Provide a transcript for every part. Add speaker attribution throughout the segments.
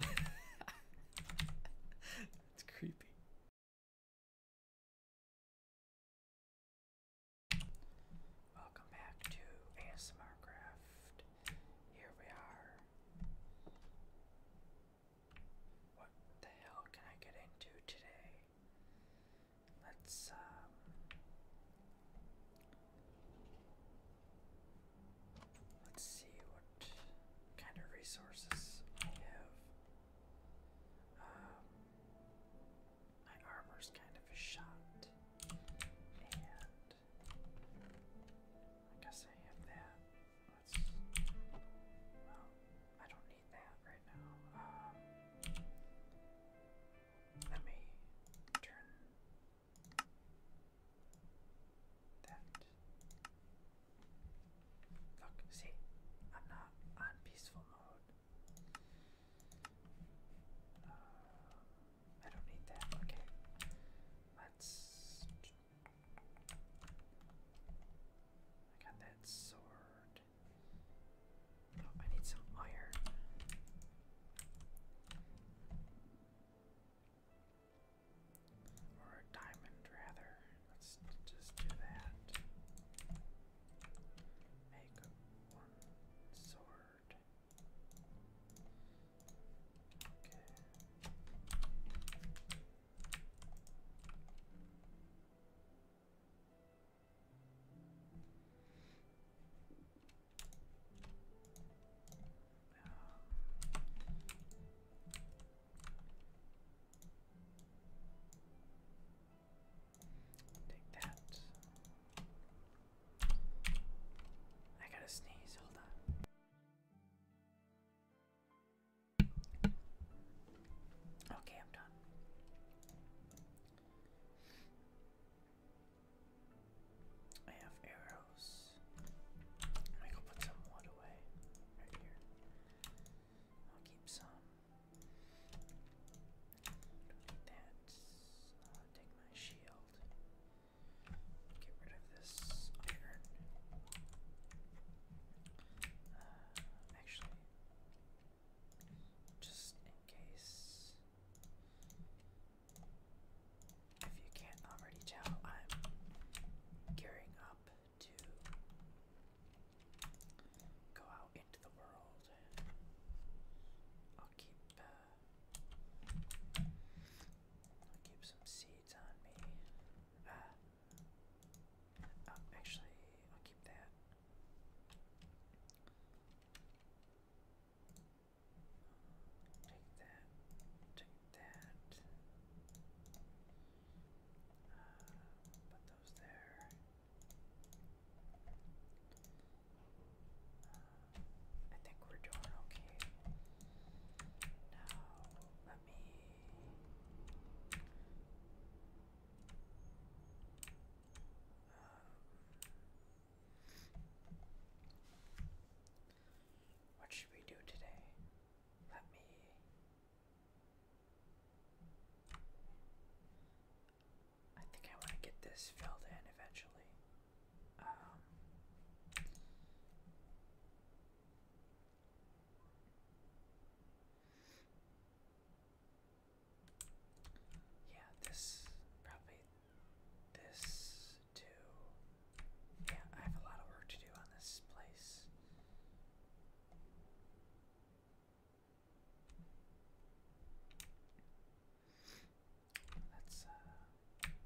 Speaker 1: That's creepy. Welcome back to ASMR Here we are. What the hell can I get into today? Let's um, Let's see what kind of resources I have. Um, my armor's kind of shot, and I guess I have that. Let's. I don't need that right now. Um, let me turn Look, see, I'm not on peaceful mode. Um, I don't need that. Okay. Let's. I got that sword. Oh, I need some iron. Or a diamond, rather. Let's just do that. Make one sword. Okay. Take that. I gotta sneeze, hold on. Okay, I'm done. I have arrows. I'm gonna put some wood away right here. I'll keep some. Uh, take my shield. Get rid of this iron. Uh, actually, just in case. If you can't already tell, I'm gearing up to go out into the world. I'll keep uh, I'll keep some seeds on me. Uh, oh, actually, I'll keep that. Take that, take that. put those there. I think we're doing okay. Now, let me. What should we do today? Let me. I think I want to get this filled in eventually. Um, yeah, this probably this yeah, I have a lot of work to do on this place. Let's, uh, Yeah,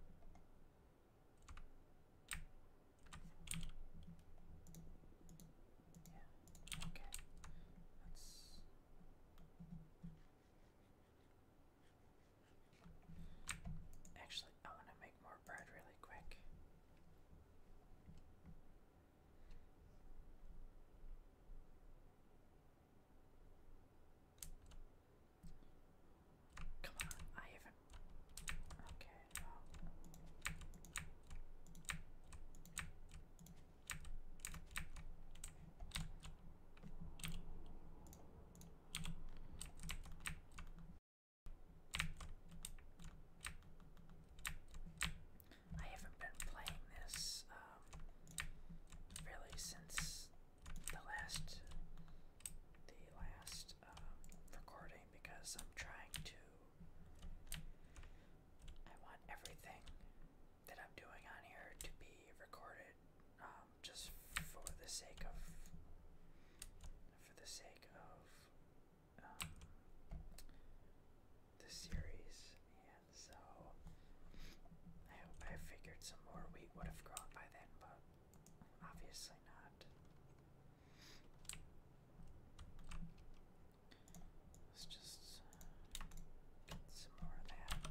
Speaker 1: okay. Let's. Actually, I want to make more bread really quick. Come on, I even. Okay, I haven't been playing this um, really since the last the last um, recording because I'm trying to I want everything that I'm doing on here to be recorded um, just for the sake of for the sake of um, the series, and so I hope I figured some more wheat would have grown by then, but obviously not. Let's just get some more of that.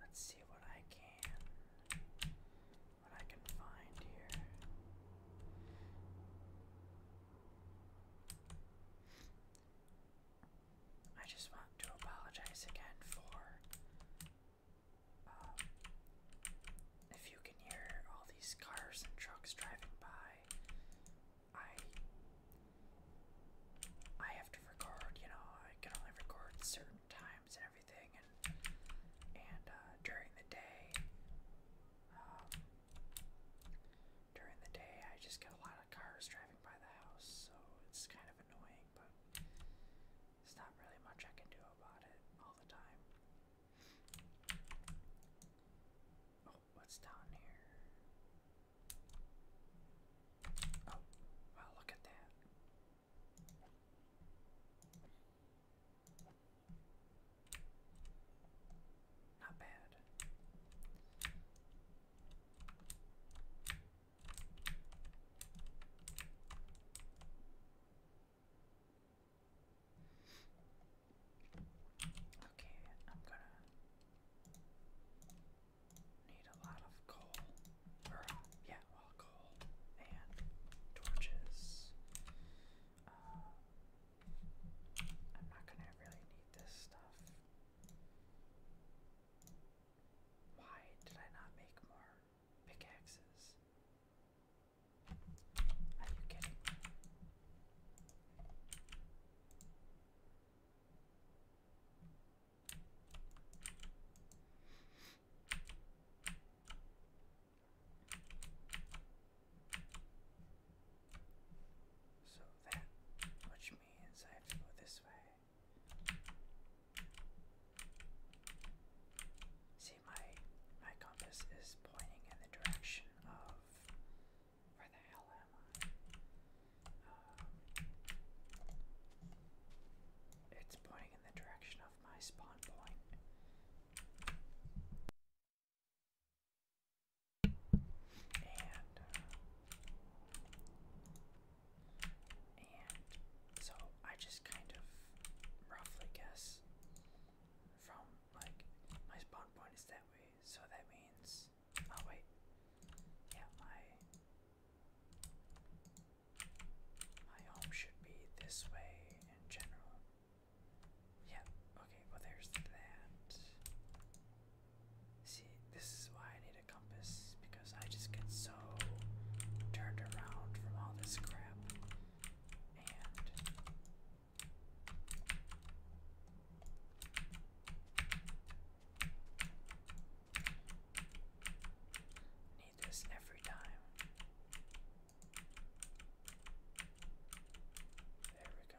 Speaker 1: Let's see what I can what I can find here. I just want to apologize again for um, if you can hear all these cars and trucks driving by, I I have to record. You know, I can only record certain times and everything, and and uh, during the day, um, during the day, I just get a lot of cars driving by the house, so it's kind of annoying. But there's not really much I can do about it all the time. Oh, what's down here? Oh, wow, look at that. Not bad. Okay, I'm gonna need a lot of coal. yeah, coal and torches. Uh, I'm not gonna really need this stuff. Why did I not make more? pickaxes. Are you kidding So that, which means I have to go this way. See, my my compass is pointing in the direction of where the hell am I? Um, it's pointing in the direction of my spawn point. Uh, and so I just kind of roughly guess from like my spawn point is that way, so that means oh wait. Yeah, my my home should be this way in general. Yeah, okay, well there's that. See, this is why I need a compass because I just get so so turned around from all this crap and need this every time. There we go.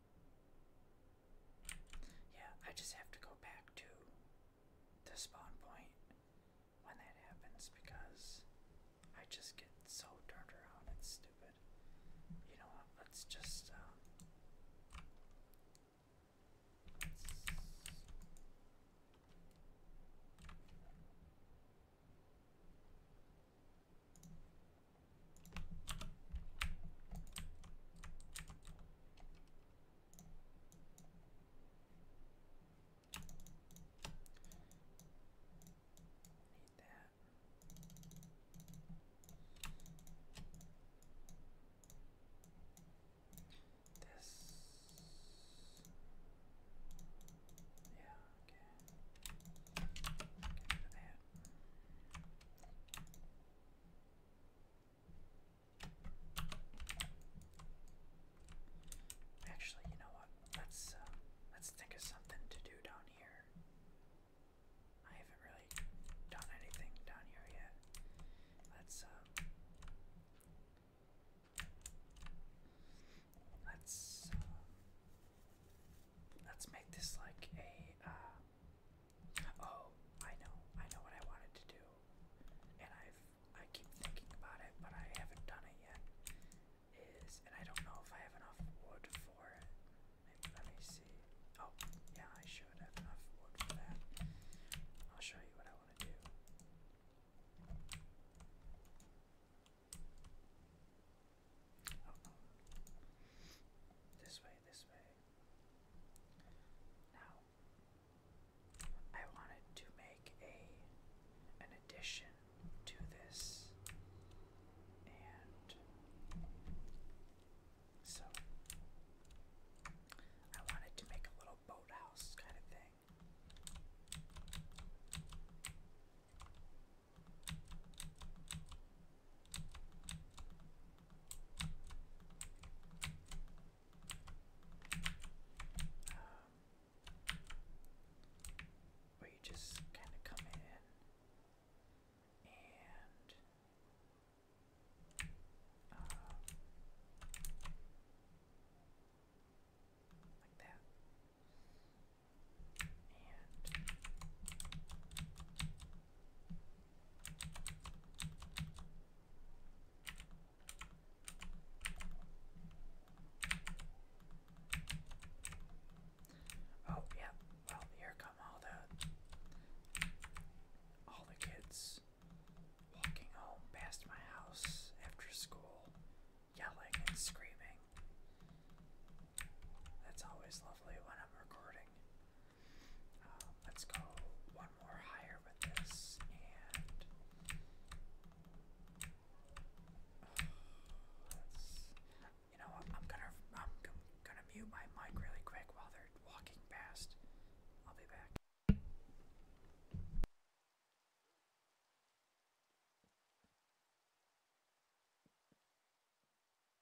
Speaker 1: Yeah, I just have to go back to the spawn point when that happens because I just get so turned around. It's stupid. You know what? Let's just. Uh, Need that. This. Yeah, okay. Get rid of that. Actually, you know what? Let's uh, let's think of something to do down here. I haven't really done anything down here yet. Let's uh, let's uh, let's make this like a Oh, I know, I know what I wanted to do, and I've I keep thinking about it, but I haven't done it yet. Is and I don't know if I have enough wood for it. Maybe, let me see. Oh, yeah, I should have enough wood for that. I'll show you what I want to do. Oh, this way, this way. Now, I wanted to make a an addition to this, and so I wanted to make a little boathouse kind of thing. Um, where you just kind of come in and um, like that. And Oh yeah, well here come all the all the kids walking home past my house after school, yelling and screaming. That's always lovely when I'm recording. Um, let's go one more higher with this and uh, you know I'm gonna I'm gonna mute my mic really quick while they're walking past. I'll be back.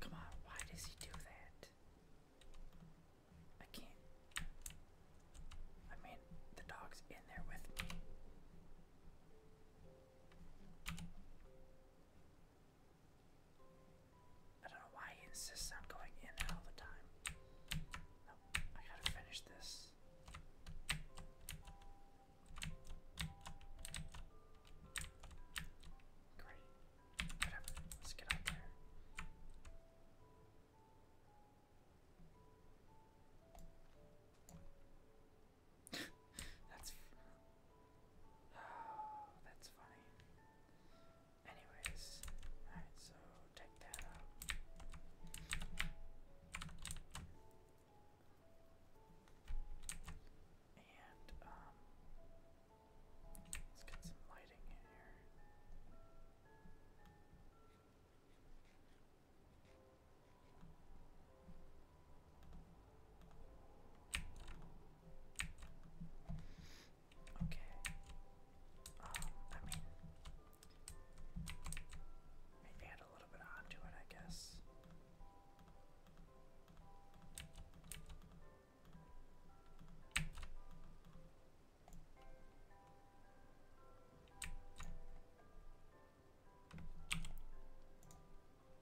Speaker 1: Come on, why does he do that? I can't. I mean, the dog's in there with me. I don't know why he insists on going in all the time. No, I gotta finish this. Great. Whatever. Let's get out there. That's Oh, that's funny. Anyways, alright, so take that out. And, um, let's get some lighting in here. Okay. Um, I mean, maybe add a little bit onto it, I guess.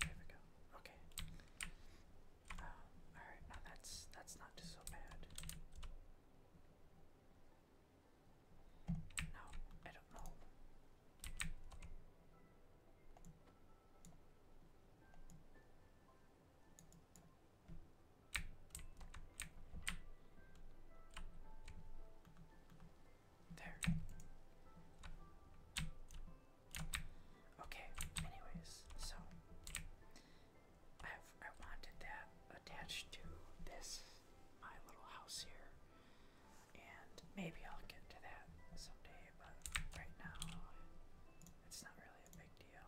Speaker 1: There we go. Okay. Um, Alright, now that's that's not so bad. No, I don't know. There. Okay, anyways, so I've, I wanted that attached to this, my little house here, and maybe I'll get to that someday, but right now it's not really a big deal.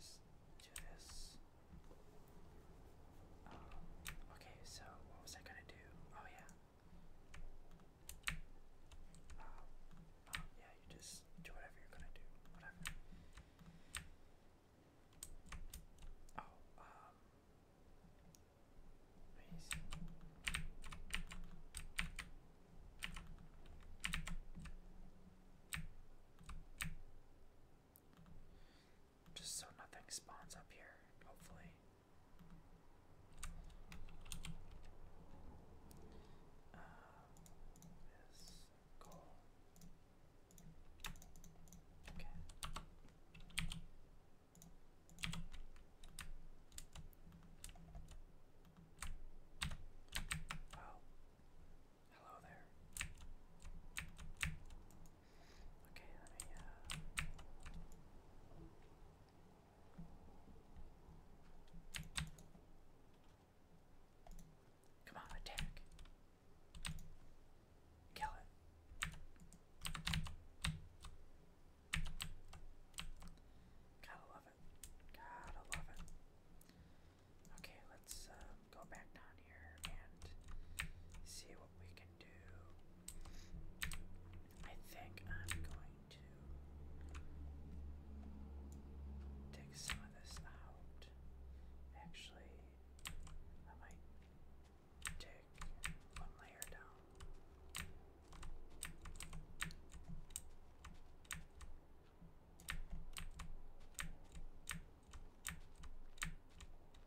Speaker 1: Just do this. Um, okay, so what was I gonna do? Oh, yeah yeah, you just do whatever you're gonna do, whatever. Just so nothing spawns up here, hopefully. Uh, this Okay. Oh, hello there. Okay, let me, uh, Come on, attack. Kill it. Gotta love it. Gotta love it. Okay, let's um, go back down here and see what we can I think I'm going to take some of this out. Actually, I might take one layer down.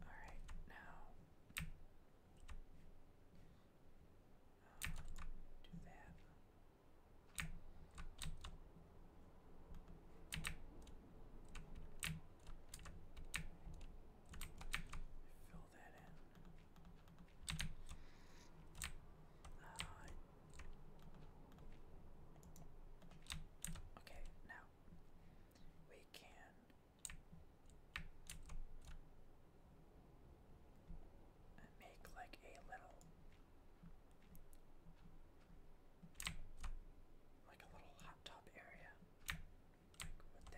Speaker 1: All right, now do that. Fill fill that okay, now we can make like a little like a little hot area like with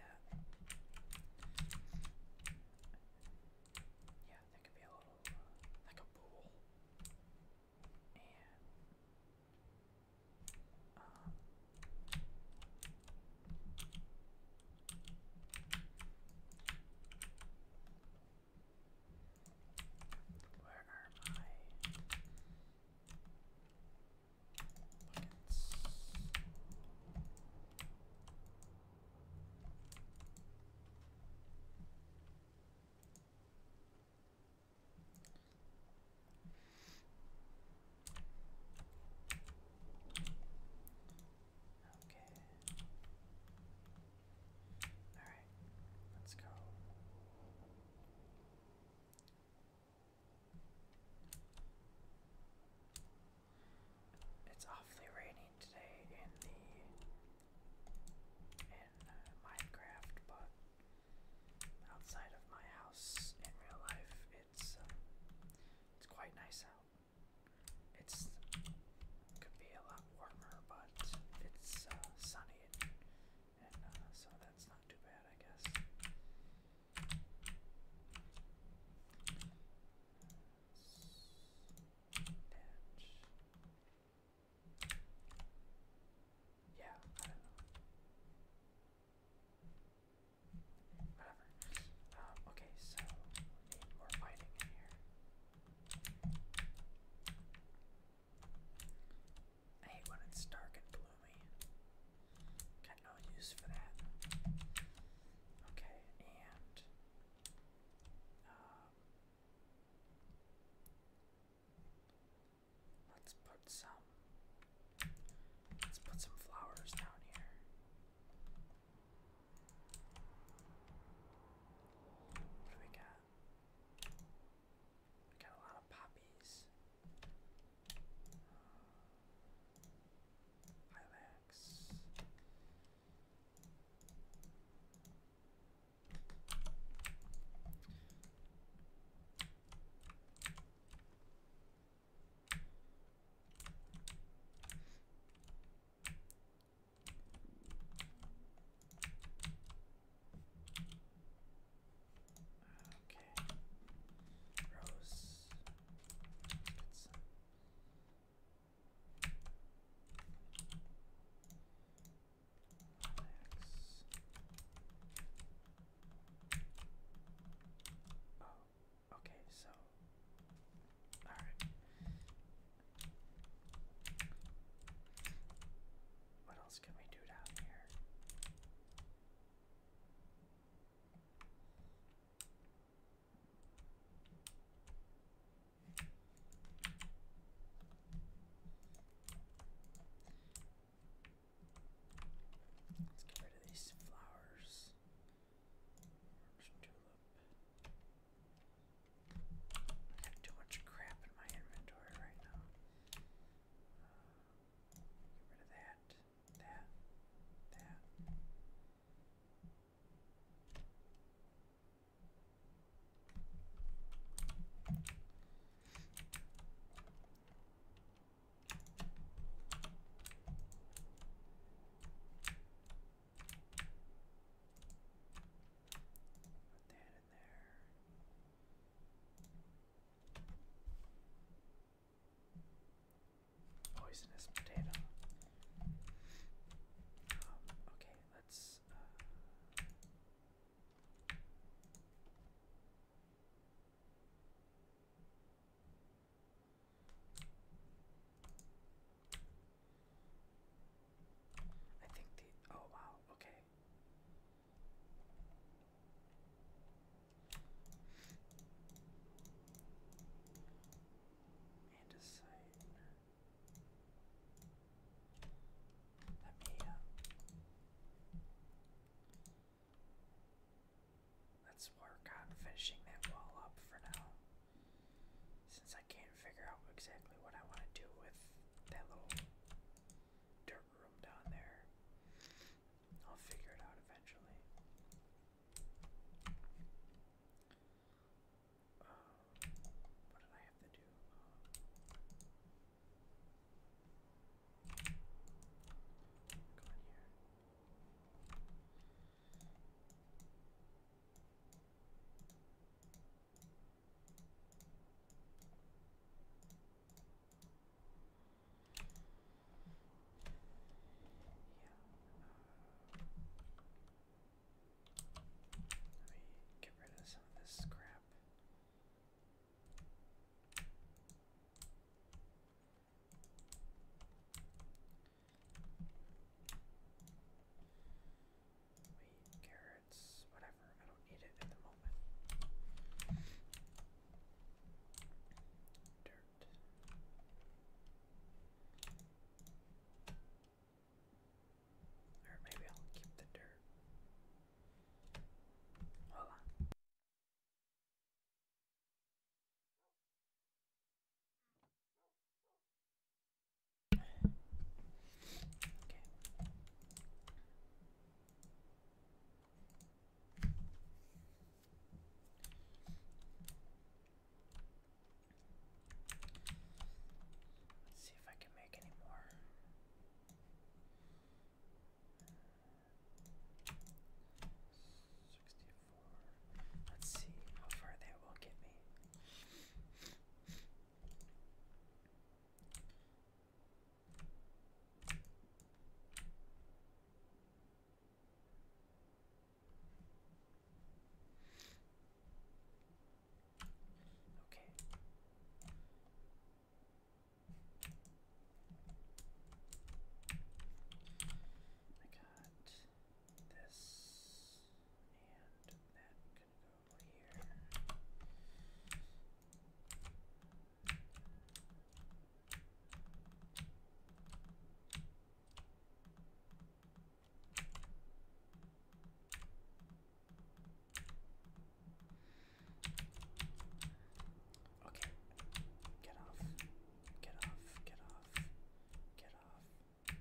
Speaker 1: Yeah, that could be a little like uh, a pool. And where uh, are my Okay. All right. Let's go. It's awfully raining today in the in uh, Minecraft, but outside of my house in real life, it's uh, it's quite nice out. It's could be a lot warmer, but it's uh, sunny and, so that's not too bad, I guess. Yeah, I don't know. Whatever. okay, so we need more fighting in here. I hate when it's dark and gloomy. Kind no use for that. Okay, and um, let's put some let's put some flowers down here. What do we got? We got a lot of poppies. Uh, Eyelash. X. Okay. Rose. Oh, okay, so. Alright. What else can we do down here? Let's get rid of these flowers. Orange tulip. I have too much crap in my inventory right now. Uh, get rid of that. There. There. Put that in there. Poisonous potato. Um, okay, let's. Uh, I think the. Oh wow, okay. Andesite. Let me, let's work on finishing that wall up for now. Since I can't figure out exactly what I want to do with that little dirt room down there, I'll figure it out eventually. Uh, what did I have to do? Uh, um, go in here. Okay. Let me get rid of some of this scrap. Wheat, carrots, whatever. I don't need it at the moment. Dirt. Or maybe I'll keep the dirt. Okay. Let's see if I can make any more. Sixty-four. Let's see how far that will get me. Okay. I got this and that can go over here. Okay. Get off. Get off. Get off. Get off. Okay.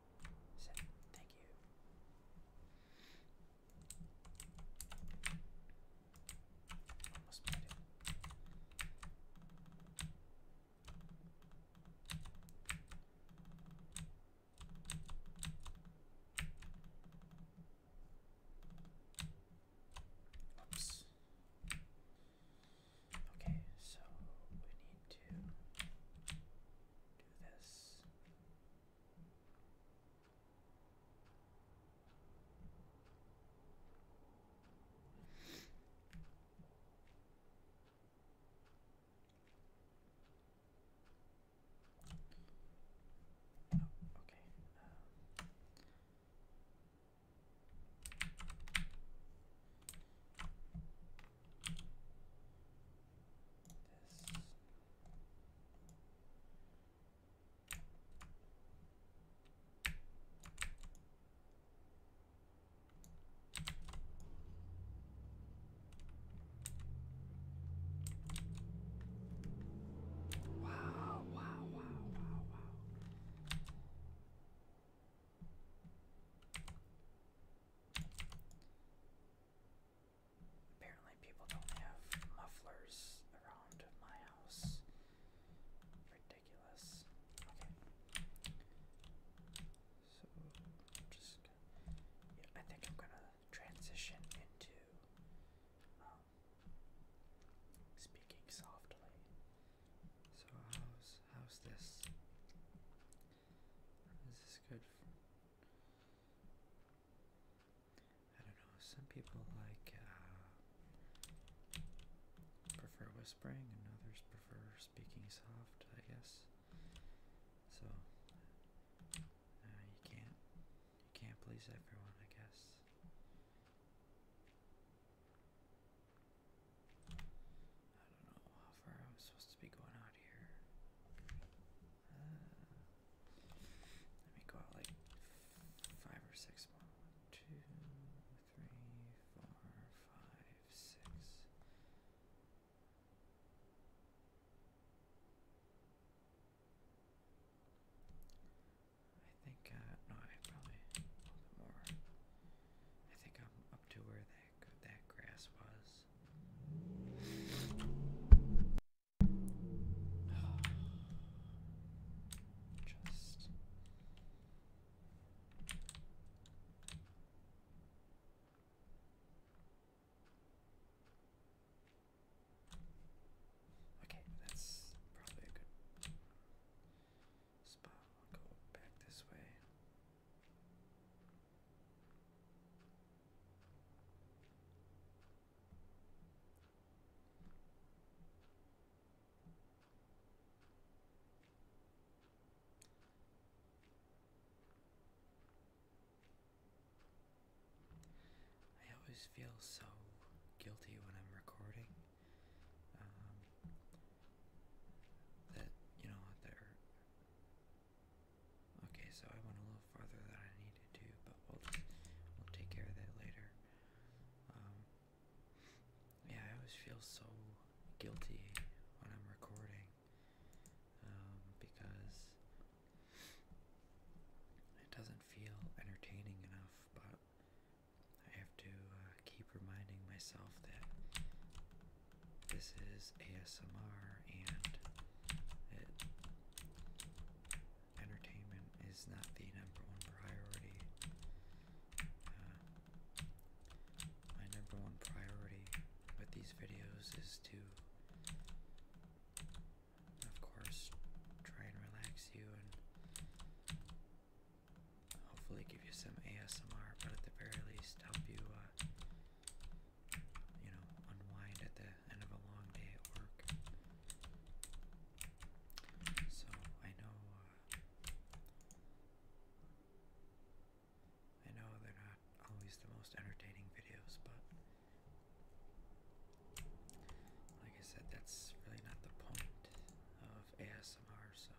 Speaker 1: Thank you. Almost made it. Oops. Okay, so we need to do this. Oh, okay. Um, this. Wow, wow, wow, wow, wow. Apparently, people don't have mufflers around my house. Ridiculous. Okay. So, I'm just. I think I'm gonna transition into um, speaking softly. So how's how's this? Is this good? I don't know, some people like uh, prefer whispering and others prefer speaking soft, I guess. So uh, you can't you can't please everyone, I guess. I don't know how far I was supposed to be going out here. Uh, let me go out like five or six more. One, two, three, four, five, six. I think, uh, no, I probably a little bit more. I think I'm up to where that that grass was. Just Okay, that's probably a good spot. I'll go back this way. I always feel so guilty when I'm recording um, that you know there Okay, so I went a little farther than I needed to, but we'll we'll take care of that later. Um, yeah, I always feel so guilty when I'm recording um, because it doesn't feel entertaining enough, but I have to uh, keep reminding myself that this is ASMR and it, entertainment is not the number one priority. Uh, my number one priority with these videos is to, of course, try and relax you and hopefully give you some ASMR, but at the very least help you uh, you know, unwind at the end of a long day at work. So I know, uh, I know they're not always the most entertaining videos, but like I said, that's really not the point of ASMR, so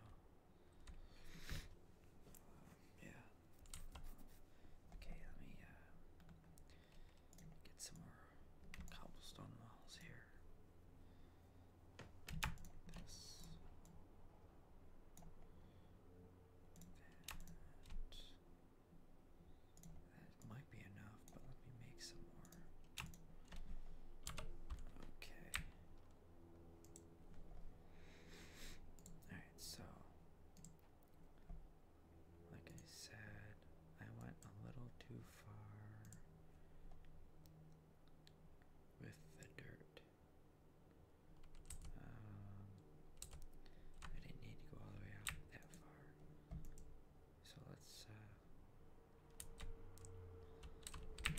Speaker 1: yeah. Okay, let me uh, get some more cobblestone walls here. This. that might be enough, but let me make some more. Okay. Alright, so like I said, I went a little too far with the dirt. Um, I didn't need to go all the way out that far. So let's uh,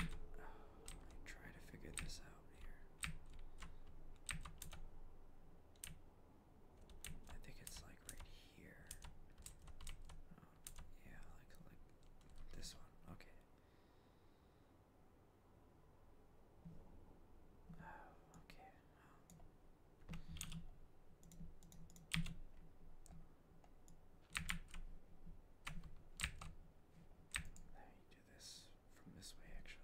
Speaker 1: oh, try to figure this out. I think it's like right here. Oh, yeah, like like this one. Okay. Oh, okay. Oh. Now do this from this way, actually.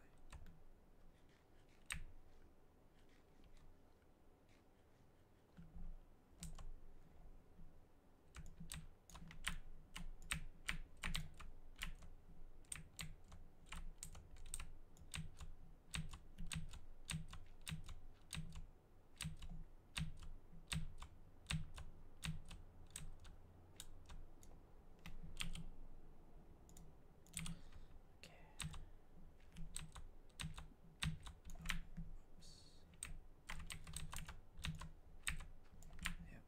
Speaker 1: Okay. Oops. Yep.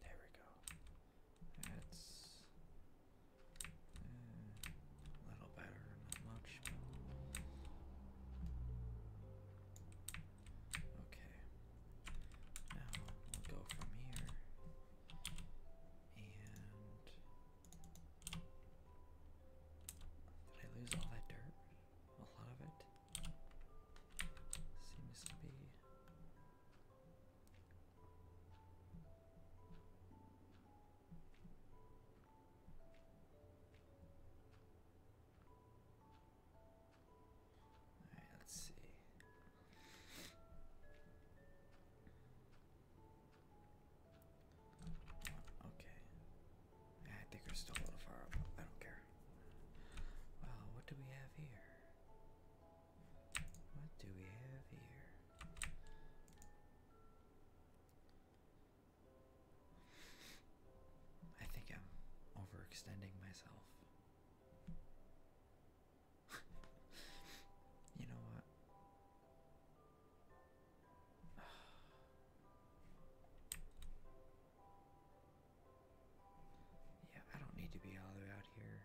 Speaker 1: there we go. That's uh, a little better, not much. okay. Now we'll go from here and. Did I lose all that dirt? A lot of it? Seems to be let's see. Okay. I think we're still a little far I don't care. Well, what do we have here? What do we have here? I think I'm overextending myself. you know what? yeah, I don't need to be all out here.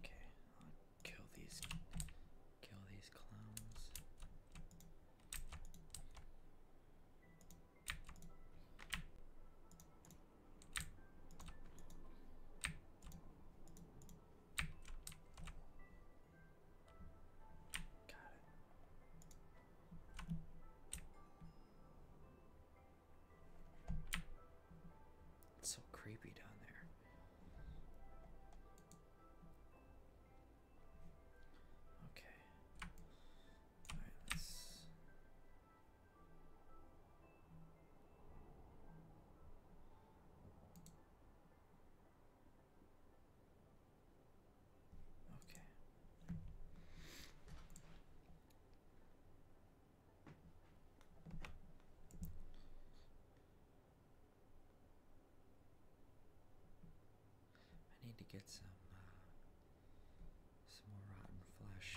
Speaker 1: Okay, I'll kill these kill these clowns. Got it. It's so creepy down there. Okay. Alright, let's Okay. I need to get some uh, some more rotten flesh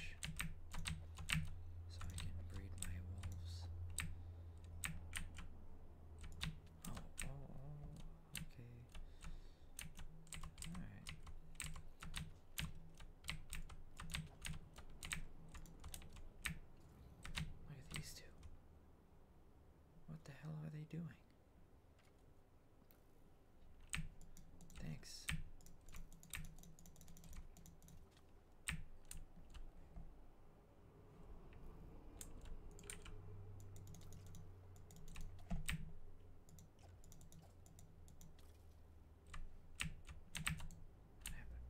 Speaker 1: so I can breed my wolves. Oh, oh, oh, okay. Alright. Look at these two. What the hell are they doing? Thanks.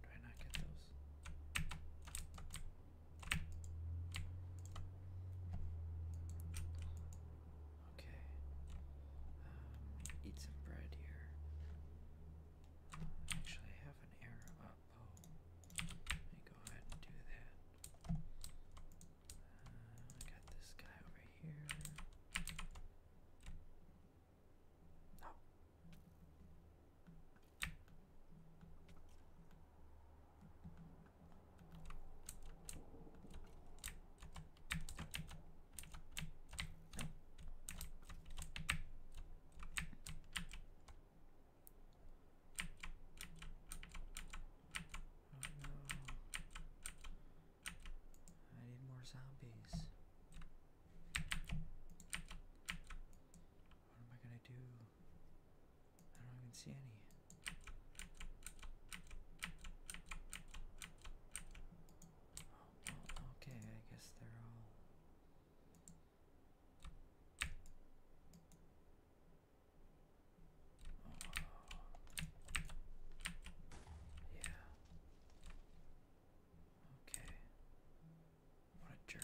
Speaker 1: What happened? Do not get those? Okay. Um, eat some bread here. Actually, have an arrow up. Oh, let me go ahead and do that. Uh, I got this guy over here. No. I need more zombies. What am I gonna do? I don't even see any okay, I guess they're all. Yeah. Okay. What a jerk.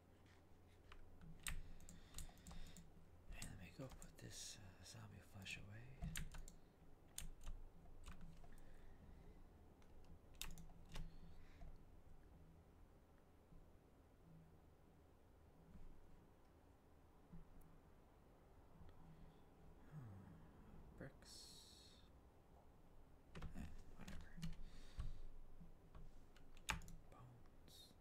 Speaker 1: let me go put this uh, zombie flesh away. Hmm, bricks. Eh, whatever. Bones.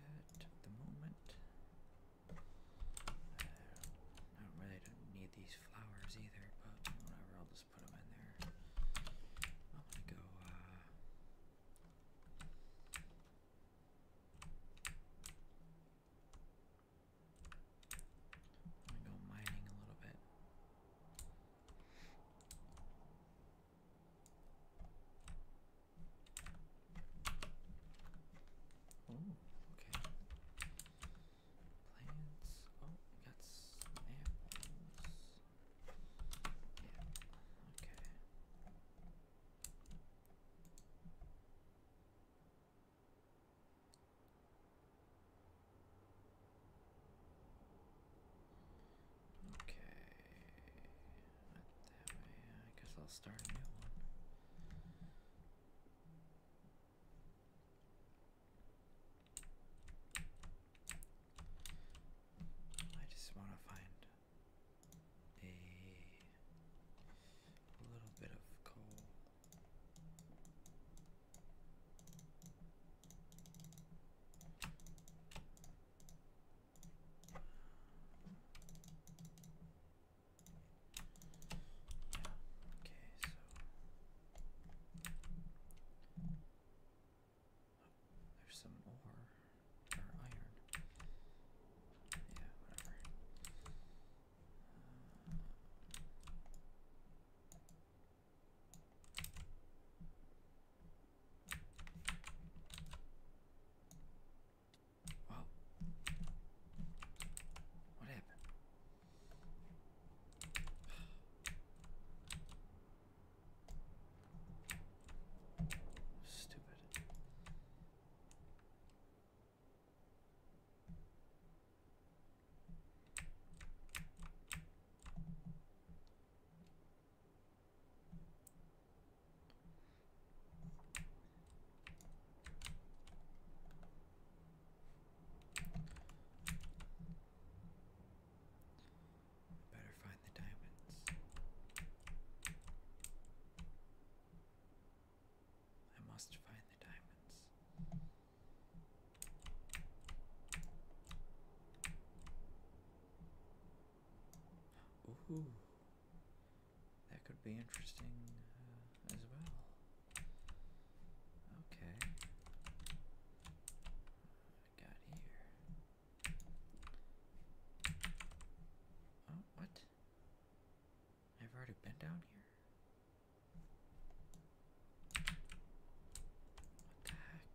Speaker 1: Don't need that at the moment. I don't really need these flowers either, but whatever, I'll just put them in there. I'm gonna go, uh, I'm gonna go mining a little bit. Oh, okay. Plants. Oh, we got apples. Yeah, oh, okay. Okay. I guess I'll start a new one. I just want to find a little bit of coal. Yeah, okay, so. Oh, there's some ore. Or iron. Yeah, whatever. Uh, well, what happened? Stupid. Better find the diamonds. I must find the diamonds. Ooh, that could be interesting uh, as well. Okay. I got here. Oh, what? I've already been down here. What the heck?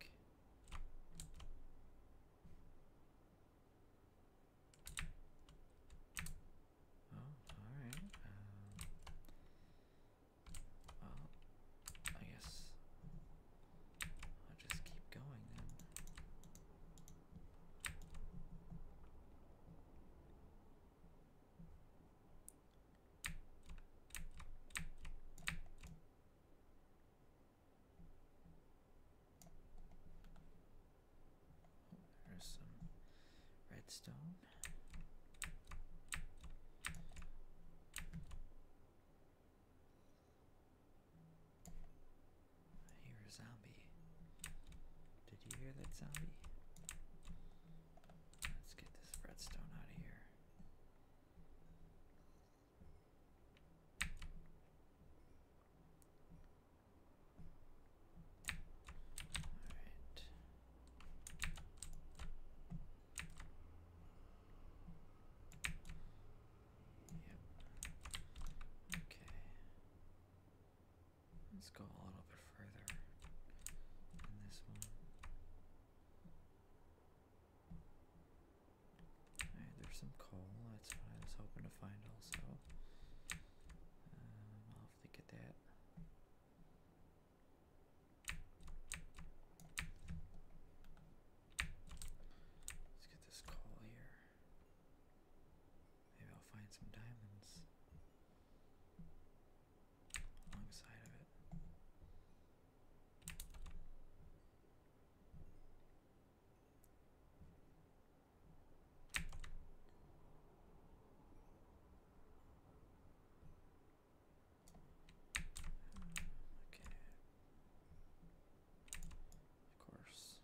Speaker 1: Oh, alright. Um, well, I guess I'll just keep going then. There's some redstone. I zombie. Did you hear that zombie? Let's get this redstone out of here. Alright. Yep. Okay. Let's go a little bit further in this one there's some coal. That's what I was hoping to find also. Um, I'll have to get that. Let's get this coal here. Maybe I'll find some diamonds alongside of it. Okay. Of course.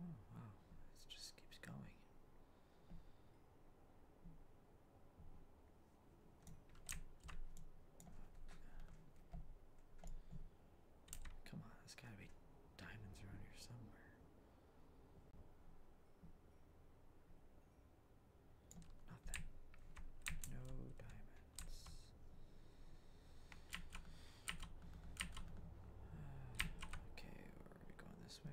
Speaker 1: Oh wow, it just keeps going. Come on, there's gotta be diamonds around here somewhere. Nothing. No diamonds. Uh, okay, are we going this way?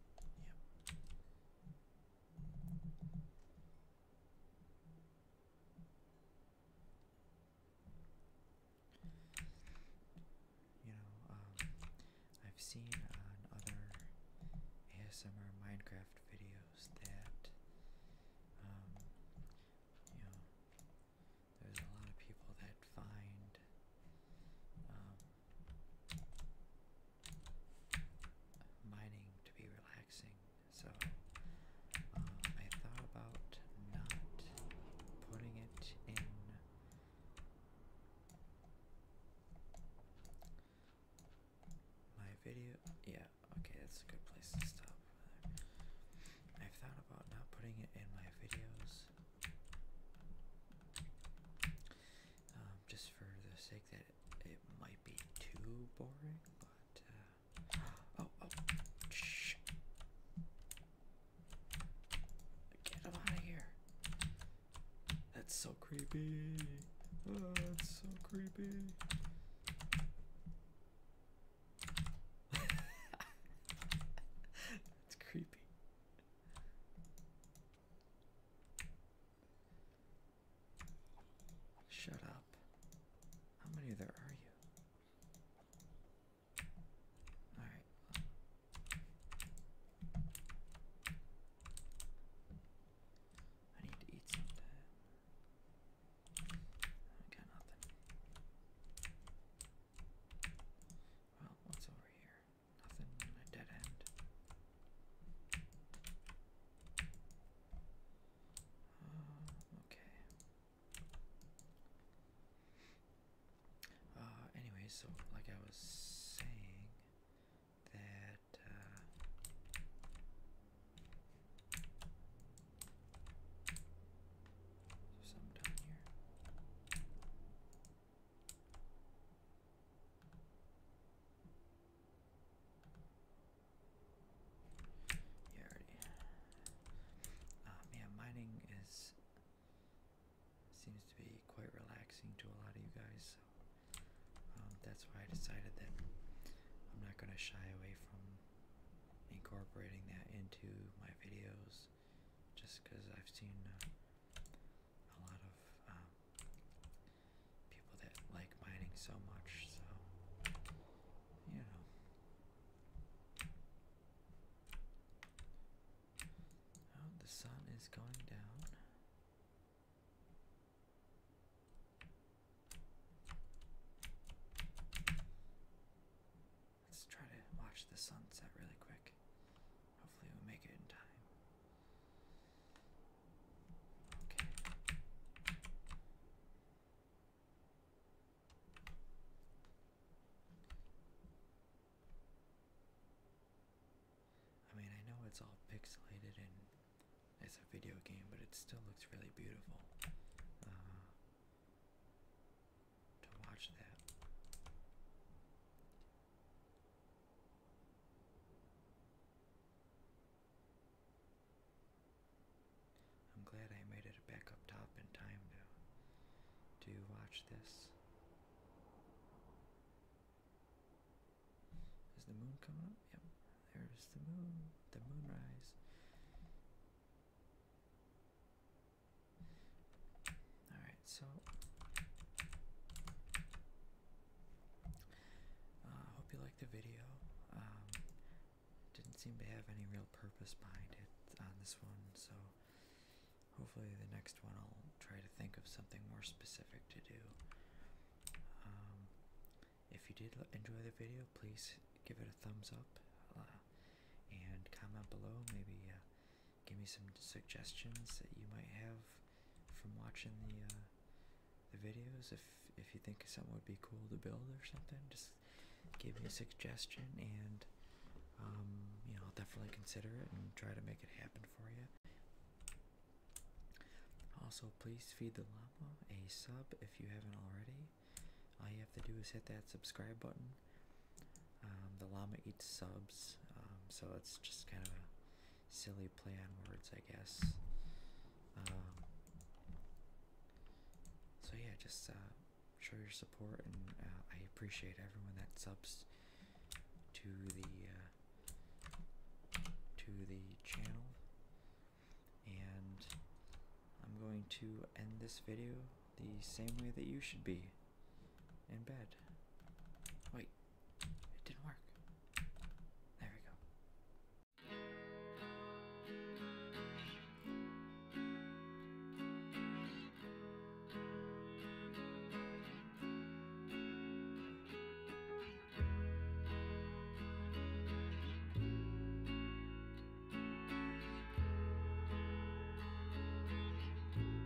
Speaker 1: You know, um, I've seen on other ASMR Minecraft videos that, um, you know, there's a lot of people that find um, mining to be relaxing, so uh, I thought about not putting it in. My video, yeah, okay, that's a good place to stop. i thought about not putting it in my videos, um, just for the sake that it, might be too boring, but uh, oh oh, shh! Get him out of here! That's so creepy. Oh, that's so creepy. that's creepy. Shut up. How many there are you? Alright. I need to eat sometime. I got nothing. Well, what's over here? Nothing in a dead end. Uh, okay. Uh, anyway, so like I was saying, that uh, there's some down here. Yeah, already. Um, mining is seems to be quite relaxing to a lot of you guys. So um, that's why I decided that I'm not going to shy away from incorporating that into my videos, just because I've seen uh, a lot of um, people that like mining so much, so you know. Oh, the sun is going down. Let's try to watch the sunset really quick. Hopefully, we make it in time. I mean, I know it's all pixelated and it's a video game, but it still looks really beautiful uh, to watch that. I'm glad I made it back up top in time to, to watch this. Is the moon coming up? Yep, there's the moon, the moonrise. All right, so uh, I hope you liked the video. Um, didn't seem to have any real purpose behind it on this one, so hopefully the next one I'll try to think of something more specific to do. Um, if you did enjoy the video, please give it a thumbs up uh, and comment below. Maybe. Uh, give me some suggestions that you might have from watching the uh, the videos. If if you think something would be cool to build or something, just give me a suggestion, and um, you know I'll definitely consider it and try to make it happen for you. Also, please feed the llama a sub if you haven't already. All you have to do is hit that subscribe button. Um, the llama eats subs, um, so it's just kind of a silly play on words, I guess. Um, so yeah, just uh, show your support, and uh, I appreciate everyone that subs to the uh, to the channel. And I'm going to end this video the same way that you should be in bed. Wait. It didn't work. There we go.